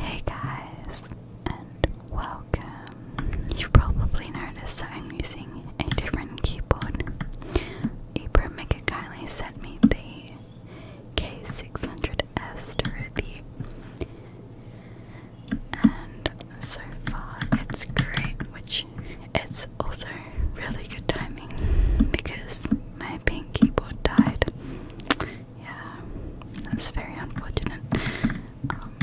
Hey guys, and welcome. You've probably noticed that I'm using a different keyboard. Ibra Mika sent me the K600S to review, and so far it's great, which it's also really good timing because my pink keyboard died yeah, that's very unfortunate. Um,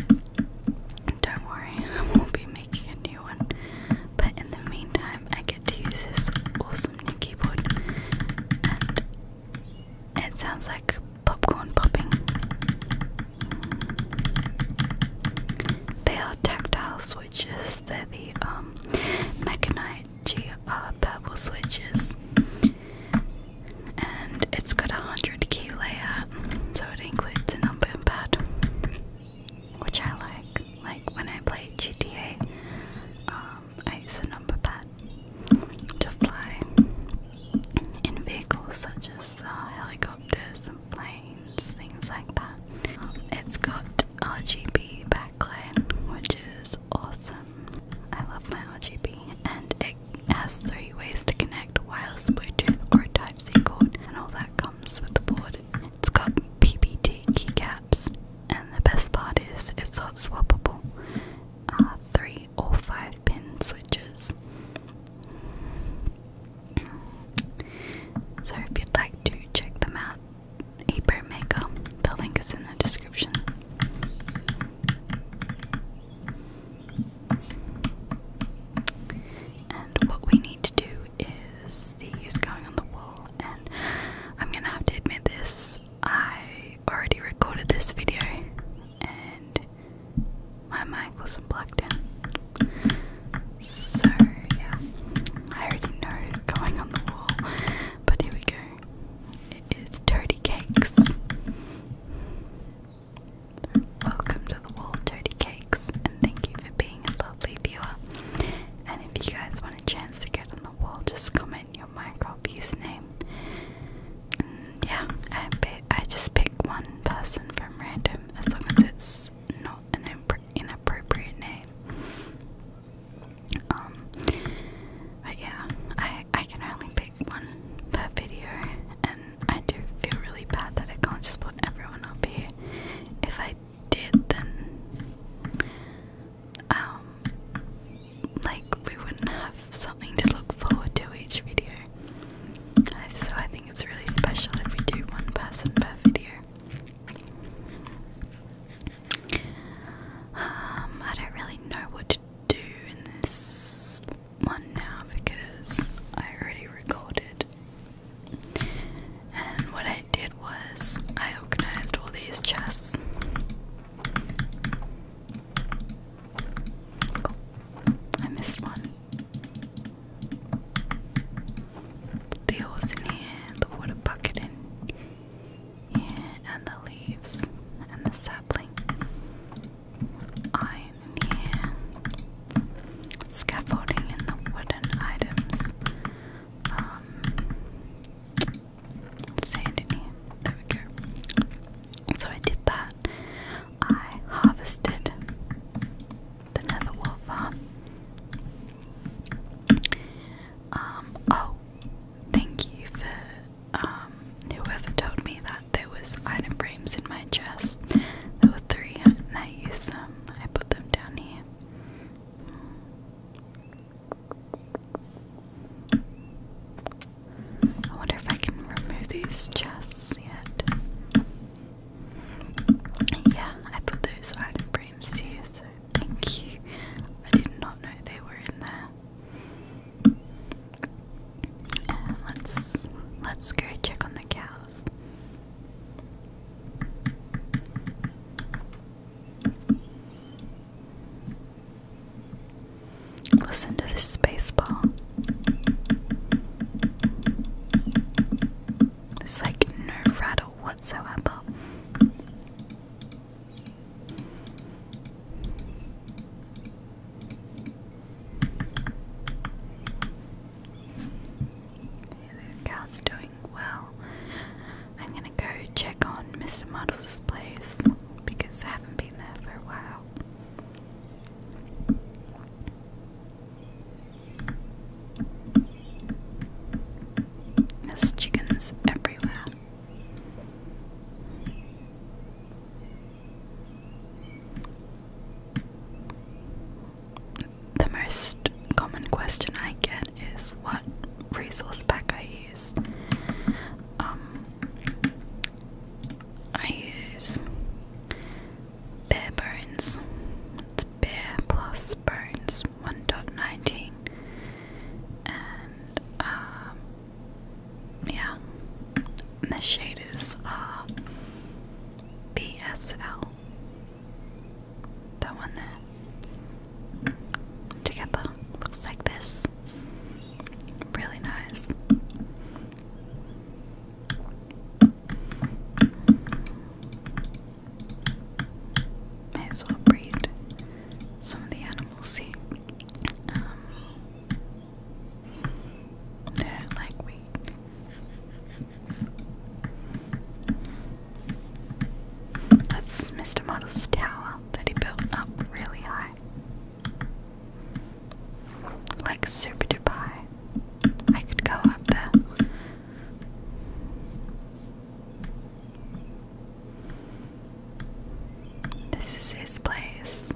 don't worry, I won't be making a new one. But in the meantime, I get to use this awesome new keyboard, and it sounds like popcorn popping. They are tactile switches. They're the um, Mechanite GR switches and it's got a 100 key layout, so it includes a number pad, which I like. Like when I play GTA, um, I use a number pad to fly in vehicles such as uh, helicopters and planes, things like that. Um, it's got RGB backlight, which is awesome. I love my RGB, and it it has three ways to connect wireless Bluetooth or Type C cord, and all that comes with the board. It's got PBT keycaps, and the best part is it's hot swappable. Uh, three or five pin switches. So if you'd like to check them out, Ebro Maker, the link is in the description. And what we need to do is these going on the wall, and I'm gonna have to admit this. I already recorded this video, and my mic wasn't plugged in. So, yeah, I already know it's going on the wall, but here we go. It is Dirty Cakes. Welcome to the wall, Dirty Cakes, and thank you for being a lovely viewer. And if you guys want a chance to get on the wall, just comment your Minecraft username. yeah, I I just pick one person from random as long as it's not an inappropriate name. Um, but yeah, I I can only pick one per video, and I do feel really bad that I can't just put everyone up here. If I did, then um, like we wouldn't have something to look forward to each video. Uh, so I think it's really special if we do one person per video. Um, I don't really know what to doing this one now because I already recorded. And what I did was I organized all these chests. I missed one. the horse in here, the water bucket in here, and the leaves, and the sapling iron in here, scaffolding and the wooden items, um, sand here. There we go. So I did that. I harvested the nether wolf. Um, oh, thank you for um, whoever told me that there was item frames in my chest. There were three, and I used them. I put them down here. I wonder if I can remove these chests yet. Yeah, I put those item frames here, so thank you. I did not know they were in there let's let's go check on the cows. Listen to this space ball. It's like no rattle whatsoever cow's doing well. I'm gonna go check on Mr. Model's place because I haven't been there for a while. There's chickens everywhere. The most common question I get is what resource pack I use. Um, I use Bare Bones. Bare plus Bones 1.19, and um, yeah. And the shade is uh BSL. That one there. Together. Looks like this. Really nice. May as well breed some of the animals see like we That's Mr. Model's tower that he built up really high. Like super duper high. I could go up there. This is his place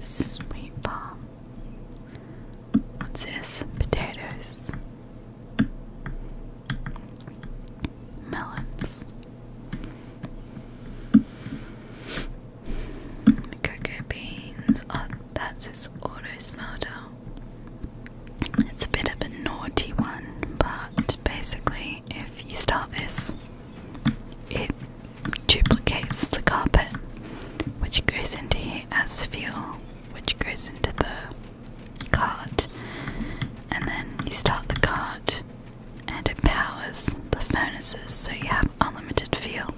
sweet palm. What's this? Potatoes. Melons. Cocoa beans. Oh, that's his auto smelter. It's a bit of a naughty one, but basically, if you start this, it duplicates the carpet, which goes into here as fuel, which goes into the cart, and then you start the cart and it powers the furnaces so you have unlimited fuel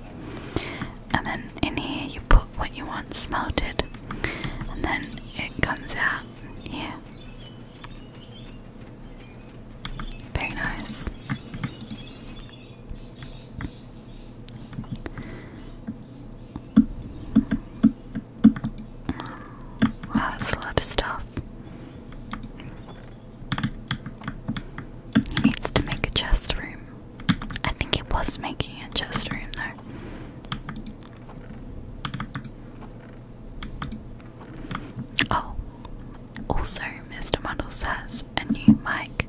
and then in here you put what you want smelted, and then it comes out here. Very nice. Wow, that's a lot of stuff. needs to make a chest room. I think it was making a chest room there. Oh, also, Mr. Muddles has a new mic.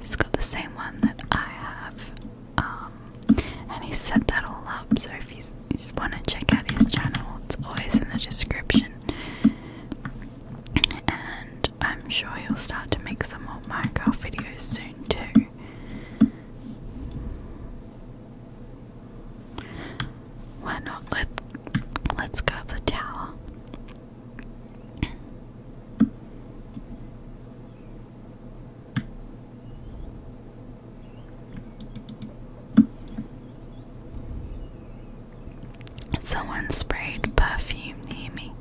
He's got the same one that I have, um, and he set that all up. So if you just want to check out his channel, it's always in the description. And I'm sure he'll start to make some more Minecraft videos soon too. Why not? Let Let's grab the tower. Someone sprayed perfume near me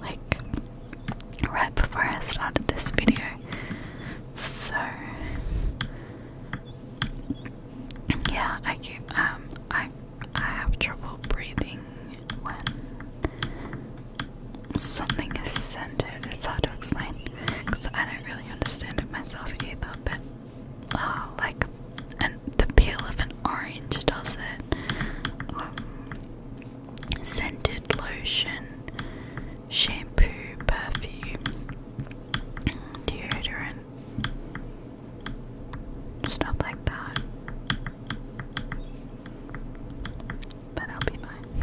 like right before I started this video. So yeah, I keep um I I have trouble breathing when something is centered. It's hard to explain because I don't really understand it myself either. But uh, like and the peel of an orange does it. Um, scented lotion, shampoo, perfume, deodorant, stuff like that. But I'll be mine.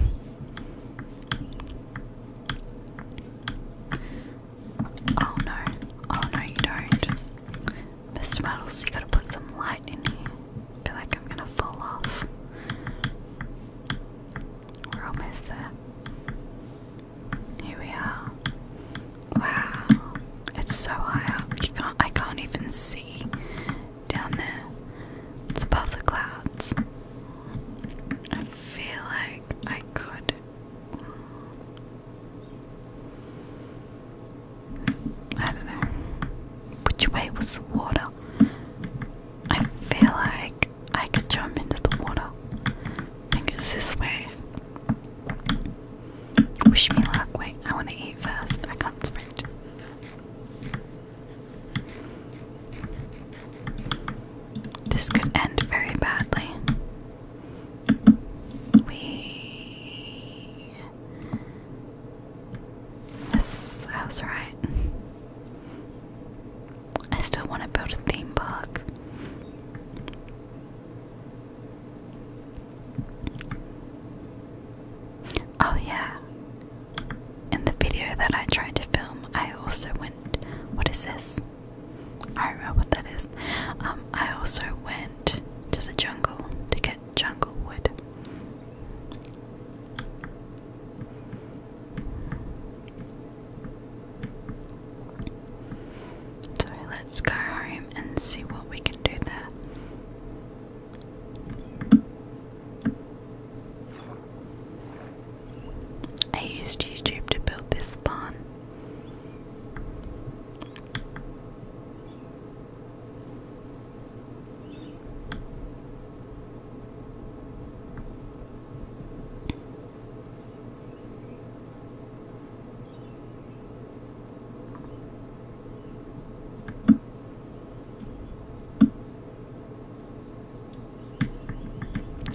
Oh no, oh no, you don't. Mr. Muddles, you gotta put some light in here. I feel like I'm gonna fall off. We're almost there. Here we are. Wow, it's so high up. I can't even see down there. It's above the clouds. I feel like I could. I don't know, which way was water? I feel like I could jump into the water. I think this way. Wish me luck. Wait, I want to eat first. I can't sprint. This could end very badly. We that was right. I still want to build a theme park. Oh, yeah. In the video that I tried to film, I also went. What is this? I don't know what that is. Um, I also went to the jungle to get jungle wood. So let's go home and see what we can do there. I used YouTube to build this barn.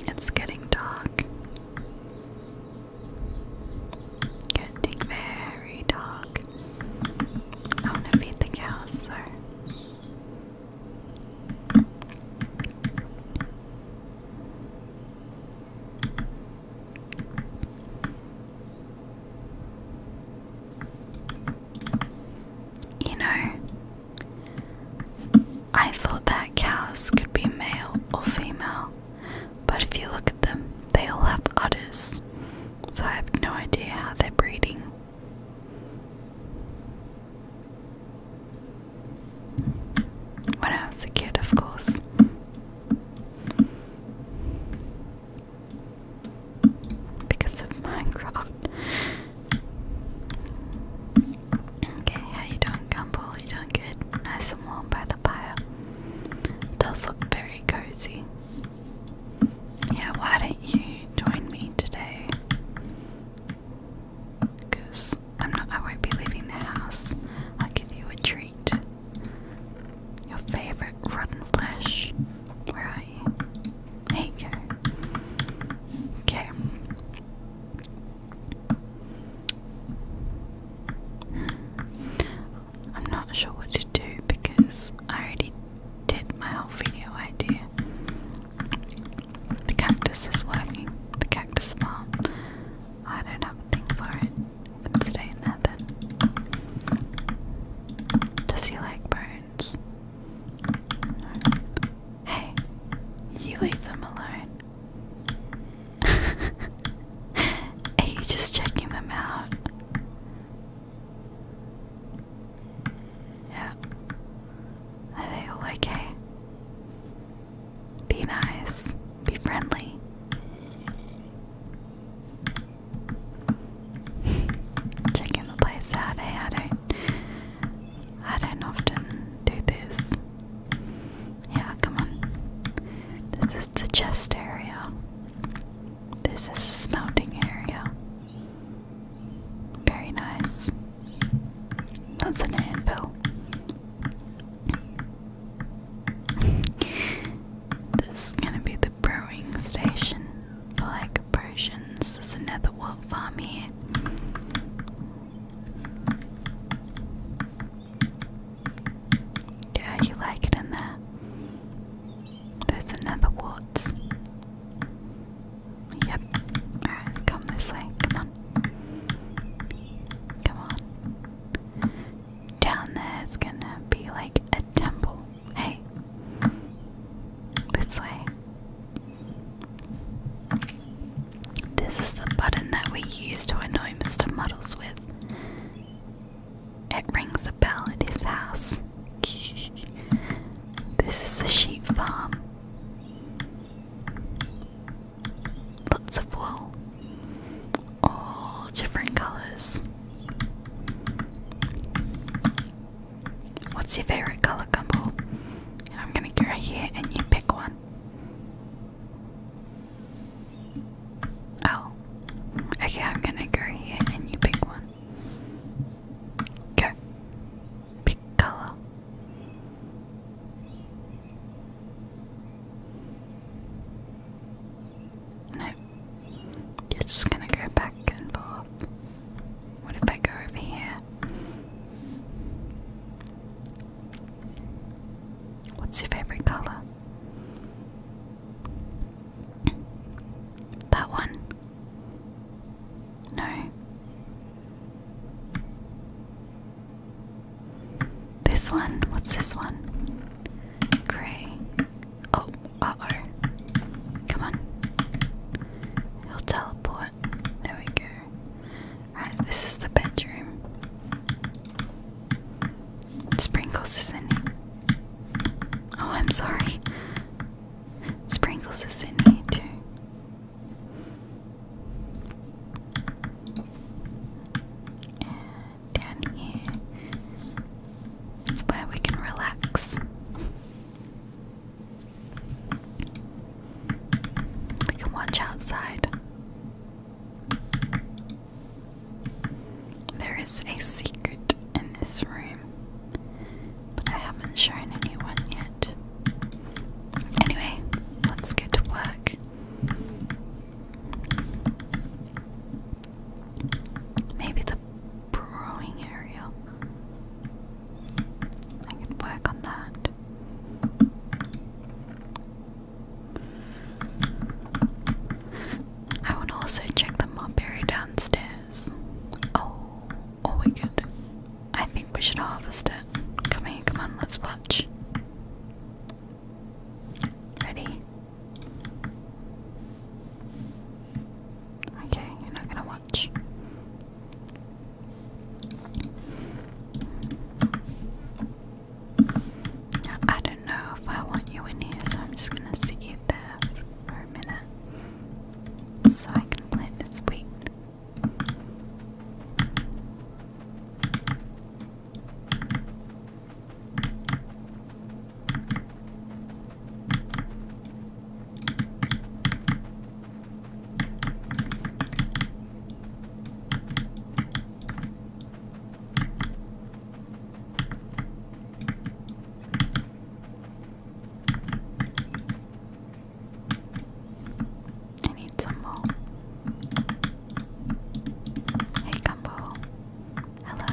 It's getting dark. Getting very dark. I want to feed the cows you know, I thought that cows could be male or female, but if you look at them, they all have udders, so I have no idea how they're breeding. When I was a kid, of course. Because of Minecraft. Okay, how you doing, Gumball? You doing good? Nice and warm by the fire. does look very cozy yeah, why don't you join me today? Because I'm not, I won't be leaving the house. I'll give you a treat. Your favorite rotten flesh. Where are you? There you go. Okay. Hmm. I'm not sure what to do because I already did my whole video idea. The cactus is working. The cactus farm. I don't have a thing for it. stay in there then. Does he like bones? Hey, you leave them alone. He's just checking them out? Yeah. Are they okay? Be nice. Be friendly. Checking the place out, I don't I don't often do this. Yeah, come on. This is the chest area. This is the smelting area. Very nice. That's an anvil. this is gonna be the brewing station like potions. There's another wolf farm here. Yeah, you like it in there. There's another Warts. Yep. Alright, come this way. Come on. Come on. Down there's gonna be like a temple. Hey. This way. This is the button that we use to annoy Mr. Muddles with. It rings a bell at his house. This is a sheep farm. Lots of wool, all different colours. What's your favourite colour, Gumball? I'm gonna go here and you pick one. Oh, okay, I'm gonna go here and you pick one. Okay. Piccolo. No. It's gonna go back and forth. What if I go over here? What's your favorite color? That one. No. This one? What's this one? Grey. Oh, uh oh. Come on. He'll teleport. There we go. Right, this is the bedroom. Sprinkles, is in it. Oh, I'm sorry. Sprinkles is in here too. down here is where we can relax. We can watch outside. There is a secret in this room, but I haven't shown anyone yet. Anyway, let's get to work. Maybe the brewing area. I can work on that. I want also check the mob downstairs. Oh, Oh, we could. I think we should harvest it. Come here, come on, let's watch. Ready? Okay, you're not gonna watch. I don't know if I want you in here, so I'm just gonna sit you there for a minute so I can plant this week. I need some more. Hey, Gumbo. Hello.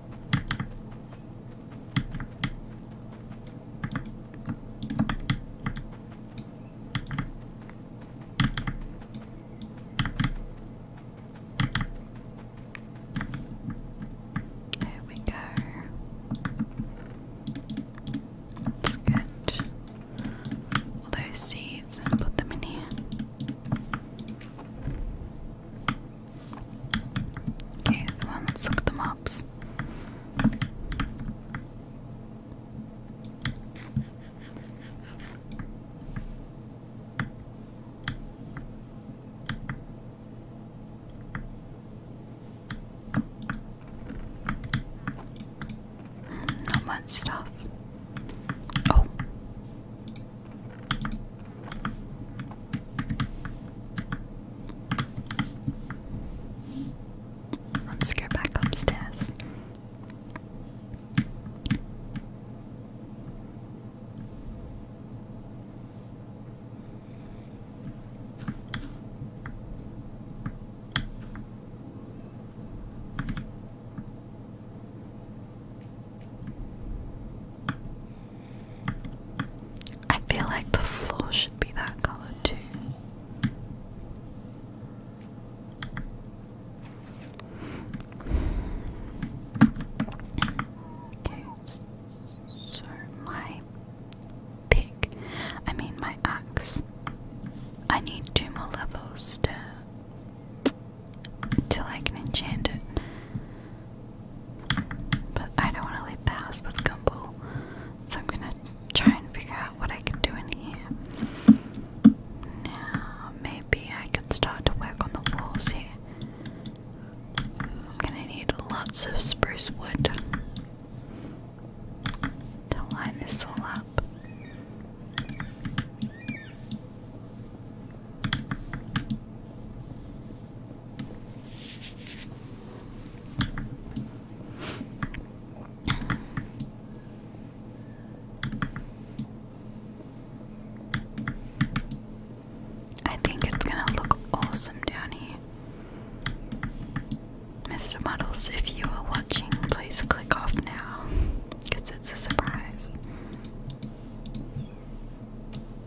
There we go. Let's all those seeds and put them in here. Okay, come on, let's look at the mobs. Hmm, not much stuff. Oh, Let's go back upstairs. I feel like the floor should be that color too. so my pick, I mean my axe, I need two more levels to till I can enchant it. But I don't want to leave the house with Gumball, so I'm gonna try and figure out what I can do in here. Now, maybe I could start to work on the walls here. I'm gonna need lots of spruce wood to line this all up. I think it's gonna look awesome down here. Mr. Models. if you are watching, please click off now because it's a surprise.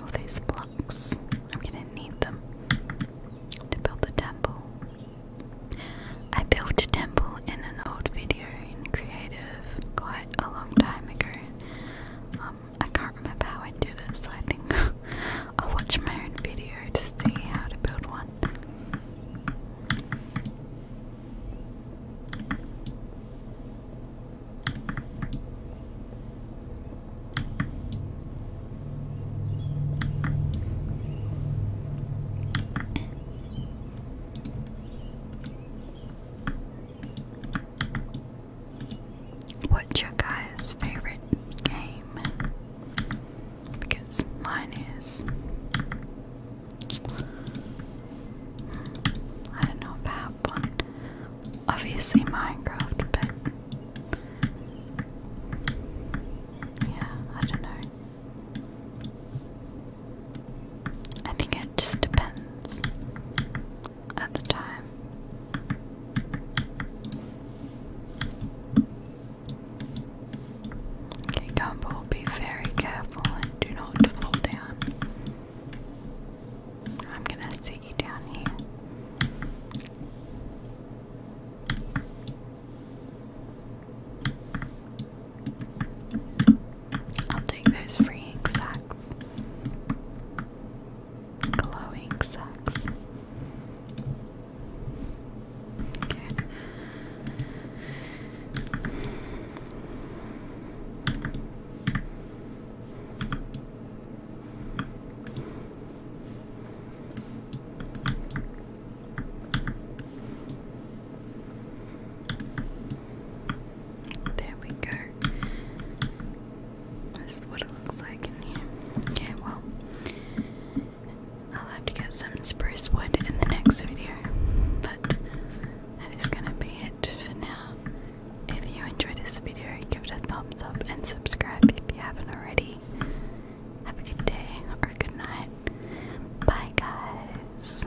Oh, these blocks. I'm gonna need them to build the temple. I built a temple in an old video in creative of a long time ago. Um, I can't remember how I did it, I think I'll watch my own video to see how to build one. What's your guys' favorite game? Because mine is. I don't know if one. Obviously, Minecraft, but. Yeah, I don't know. I think it just depends at the time. Okay, Gumball, be very careful and do not fall down. I'm gonna sit you down here i will doing those free ink sacks. Glowing sacks. Okay. There we go. This is what it looks like in here. Okay, well, I'll have to get some spruce wood in the next video, but that is going to be it for now. If you enjoyed this video, give it a thumbs up and subscribe if you haven't already. Have a good day or a good night. Bye, guys.